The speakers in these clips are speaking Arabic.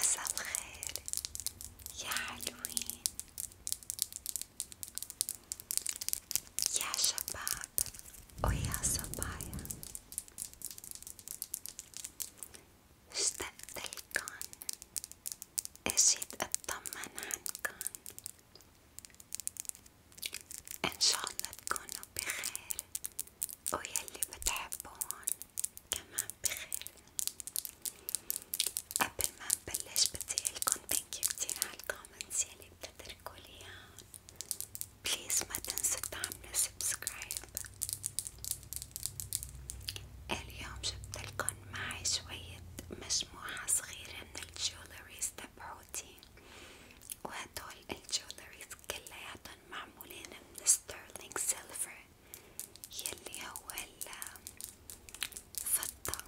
مساء الخير يا حلوين يا شباب ويا صبايا اشتقت لكن اجيت اطمن عنكن ان شاء الله تكونوا بخير ويلي بتحبون كمان صباح بخير قبل ما نبلش بدي اقلكم ثانك يو كتير على الكومنتس يلي بتتركوا لي بليز ما تنسوا تعملوا سبسكرايب اليوم جبتلكن معي شوية مجموعة صغيرة من الجولريز تبعوتي وهدول الجولريز كلياتن معمولين من ستيرلينج سيلفر يلي هو الفضة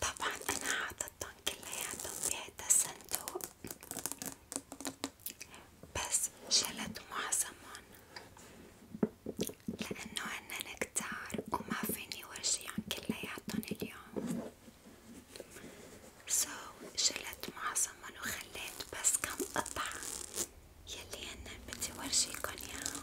طبعا انا حاطتهم كلياتهم بهذا الصندوق بس شلت معظمهم لأنه هنن كتار وما فيني ورجيهم كلياتهم اليوم سو so, شلت معظمهم وخليت بس كم قطعة يلي هنن بدي ورجيكن ياهم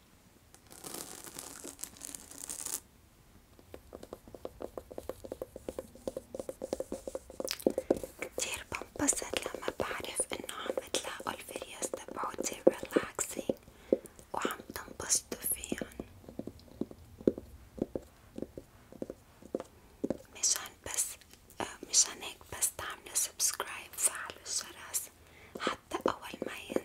كتير بنبسط لما بعرف انه عم تلاقوا الفيديوز تبعوتي ريلاكسينج وعم تنبسطوا فيهن مشان بس آه، مشان هيك بس تعملوا سبسكرايب وفعلوا الجرس حتى اول ما ينزل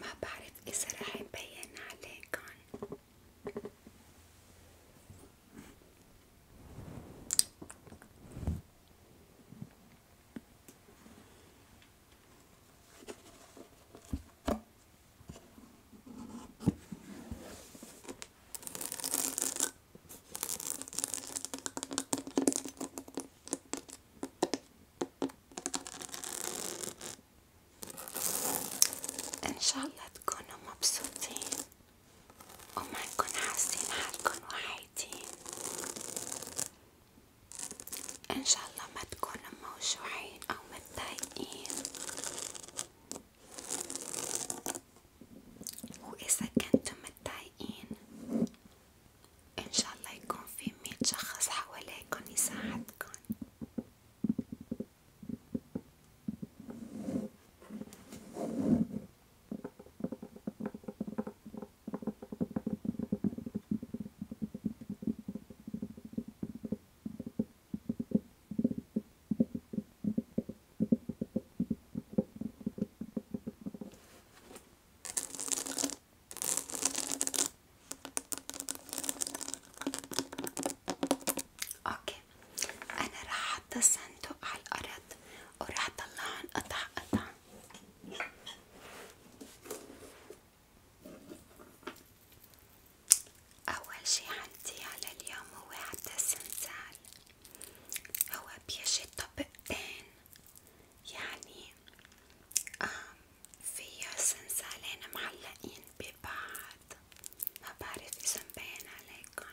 ما بعرف إذا رح يبين عليه كان ان شاء الله تكونوا مبسوطين وما تكونوا حاسين حالكم وحيدين ان شاء الله ما تكونوا موجوعين او متضايقين واذا كنتم متضايقين إن شاء الله يكون في مية شخص حواليكن يساعدكن اوكي انا راح احط الصندوق على الارض وراح اطلعهم قطع قطع اول شي عندي على اليوم هو حتى السنسال هو بيجي طبقتين يعني فيها سنسالين معلقين ببعض ما بعرف إذا مبين عليكن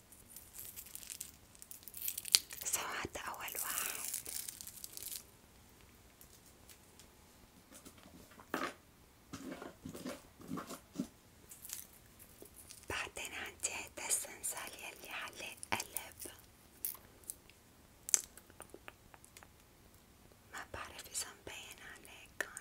سو هذا أول واحد بعدين عندي هيدا السنسال يلي عليه قلب ما بعرف إذا مبين عليكن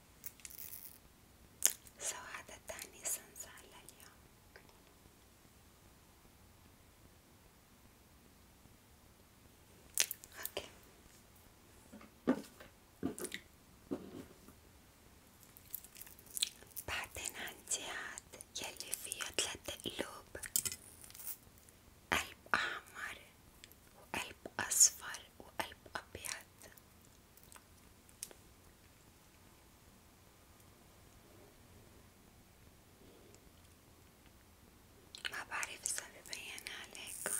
سو هذا تاني سنسة لليوم اوكي بعدين عندي هاد يلي فيه تلات قلوب قلب أحمر وقلب أصفر وقلب أبيض ما بعرف إذا ببين عليكن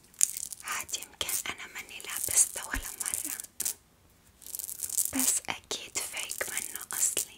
عاد يمكن أنا ماني لابسته ولا مرة بس أكيد فيك منه أصلي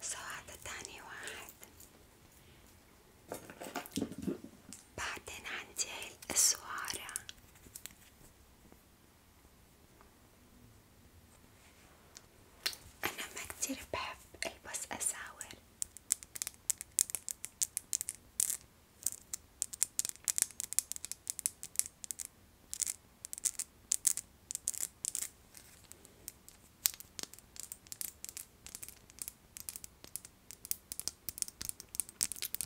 سو هذا تاني واحد بعدين عندي هاي الأسوارة أنا ما كتير بحب ألبس أساور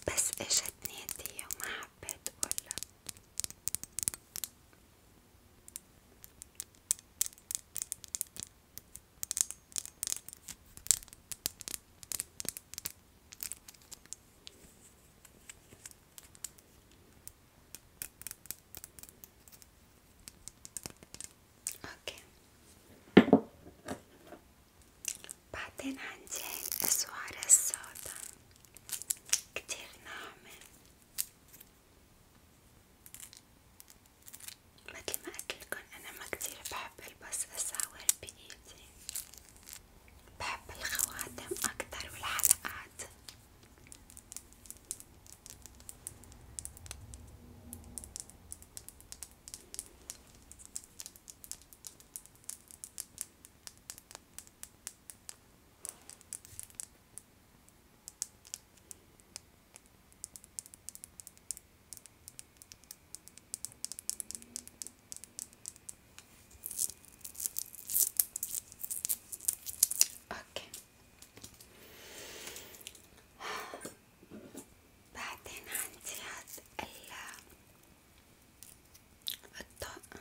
بس اجتني هدية وما حبيت اقولها اوكي بعدين عندي هاي الاسوار السودا كتير ناعمة متل ما قلتلكن انا ما كتير بحب البس اساور بايدي بحب الخواتم أكتر والحلقات اوكي بعدين عندي هاد الطقم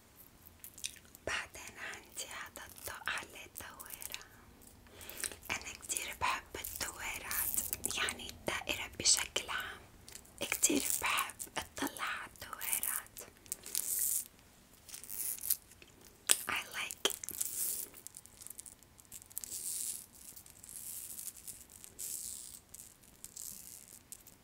بعدين عندي هذا الطاق عليه الدويرة أنا كتير بحب الدويرات يعني الدائرة بشكل عام كتير بحب اطلع على الدويرات I like it.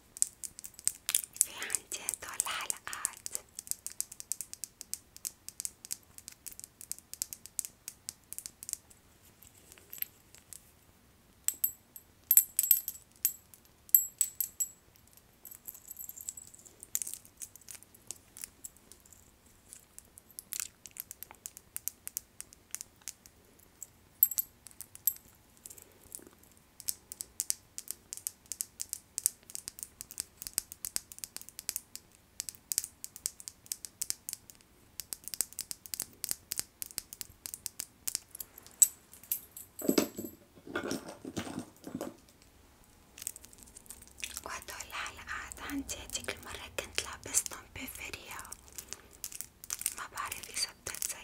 في عندي هدول الحلقات وهدول الحلقات عندي هديك المرة كنت لابستهم بفريا ما بعرف اذا بتتذكروا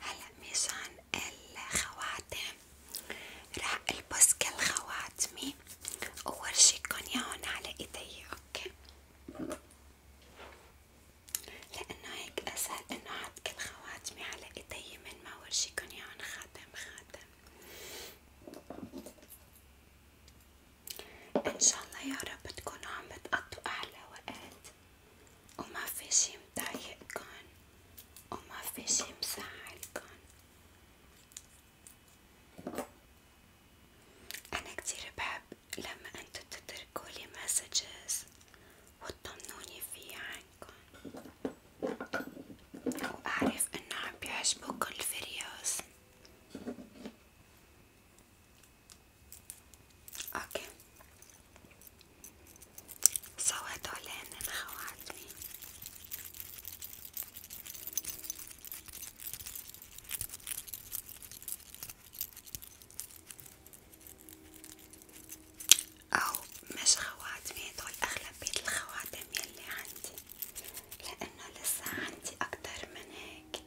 هلا مشان الخواتم راح البس كل خواتمي وورجيكن ياهن على ايدي اوكي لانه هيك اسهل انه احط كل خواتمي على ايدي من ما ورجيكن ياهن خاتم خاتم ان شاء الله يا رب تكونوا عم بتقضوا احلى وقت وما في شي مضايقكن وما في شي مزعلكن أنا كتير بحب لما انتو تتركولي مسجز وتطمنوني فيه عنكن وأعرف انو عم بيعجبوكن الفيديوز اوكي سو هدول هنن خواتي أو مش خواتمي هدول أغلبية الخواتم يلي عندي لأنه لسه عندي أكتر من هيك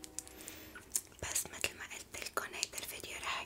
بس مثل ما قلتلكن هيدا الفيديو رح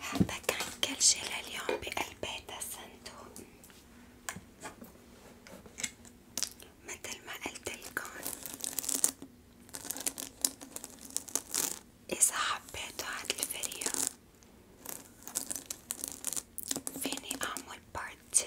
حابة كان كل شي لليوم بقلب هيدا الصندوق متل ما قلتلكن إذا حبيتوا هاد الفيديو فيني أعمل بارت تو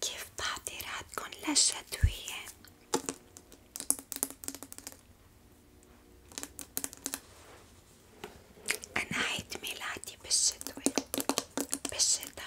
كيف تعطيراتكن للشتوية؟ أنا عيد ميلادي بالشتوي بالشتا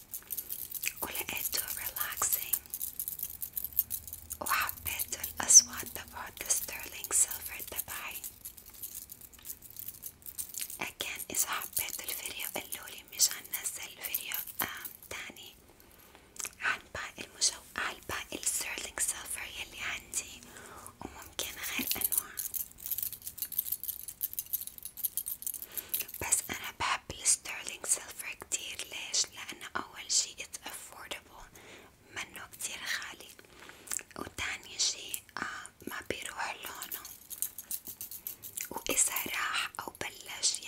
ولقيته relaxing وحبيت الأصوات تبعت الستيرلينج سيلفر تبعي أكان إذا حبيت الفيديو قلولي مشان نزل فيديو تاني عن باقي المجو على باقي الستيرلينج سيلفر يلي عندي وممكن غير أنواع بس أنا بحب الستيرلينج سيلفر كتير ليش؟ لأنه أول شي it's affordable منه كتير غالي وتاني شي آه ما بيروح لونه وإذا راح أو بلش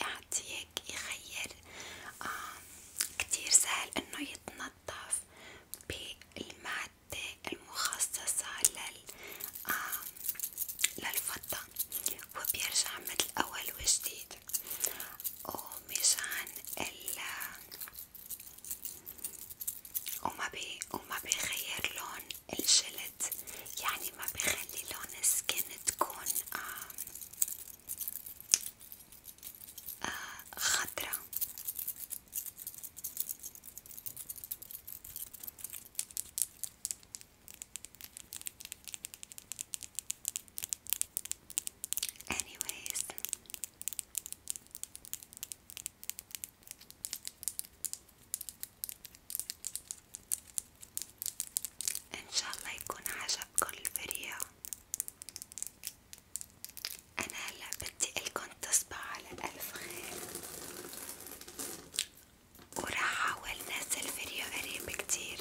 يعطيك يغير آه كتير سهل إنه يتنضف بالمادة المخصصة لل آه للفضة وبيرجع متل أول وجديد ومشان ال وما بي وما بيغير لون الجلد يعني ما بيخلي لون السكن تكون آه آه خضرة anyways ان شاء الله يكون عجبكم الفيديو انا هلا بدي الكم تصبحوا على الف خير وراح أحاول نزل فيديو قريب كتير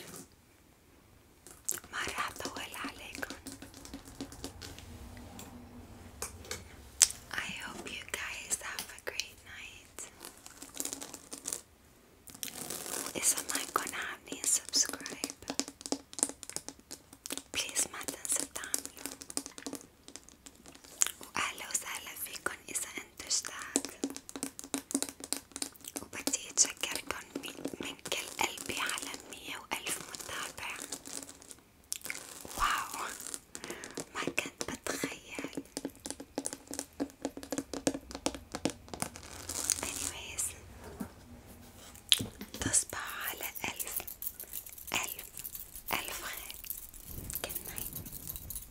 ما راح أطول عليكم I hope you guys have a great night إذا ما كنت عاملين subscribe بليز ما تنسوا تعملوا وأهلا وسهلا فيكن إذا أنتج ذاك وبدي أتشكركن من كل قلبي على مية وألف متابع واو ما كنت بتخيل anyways تصبح على ألف ألف ألف خير good night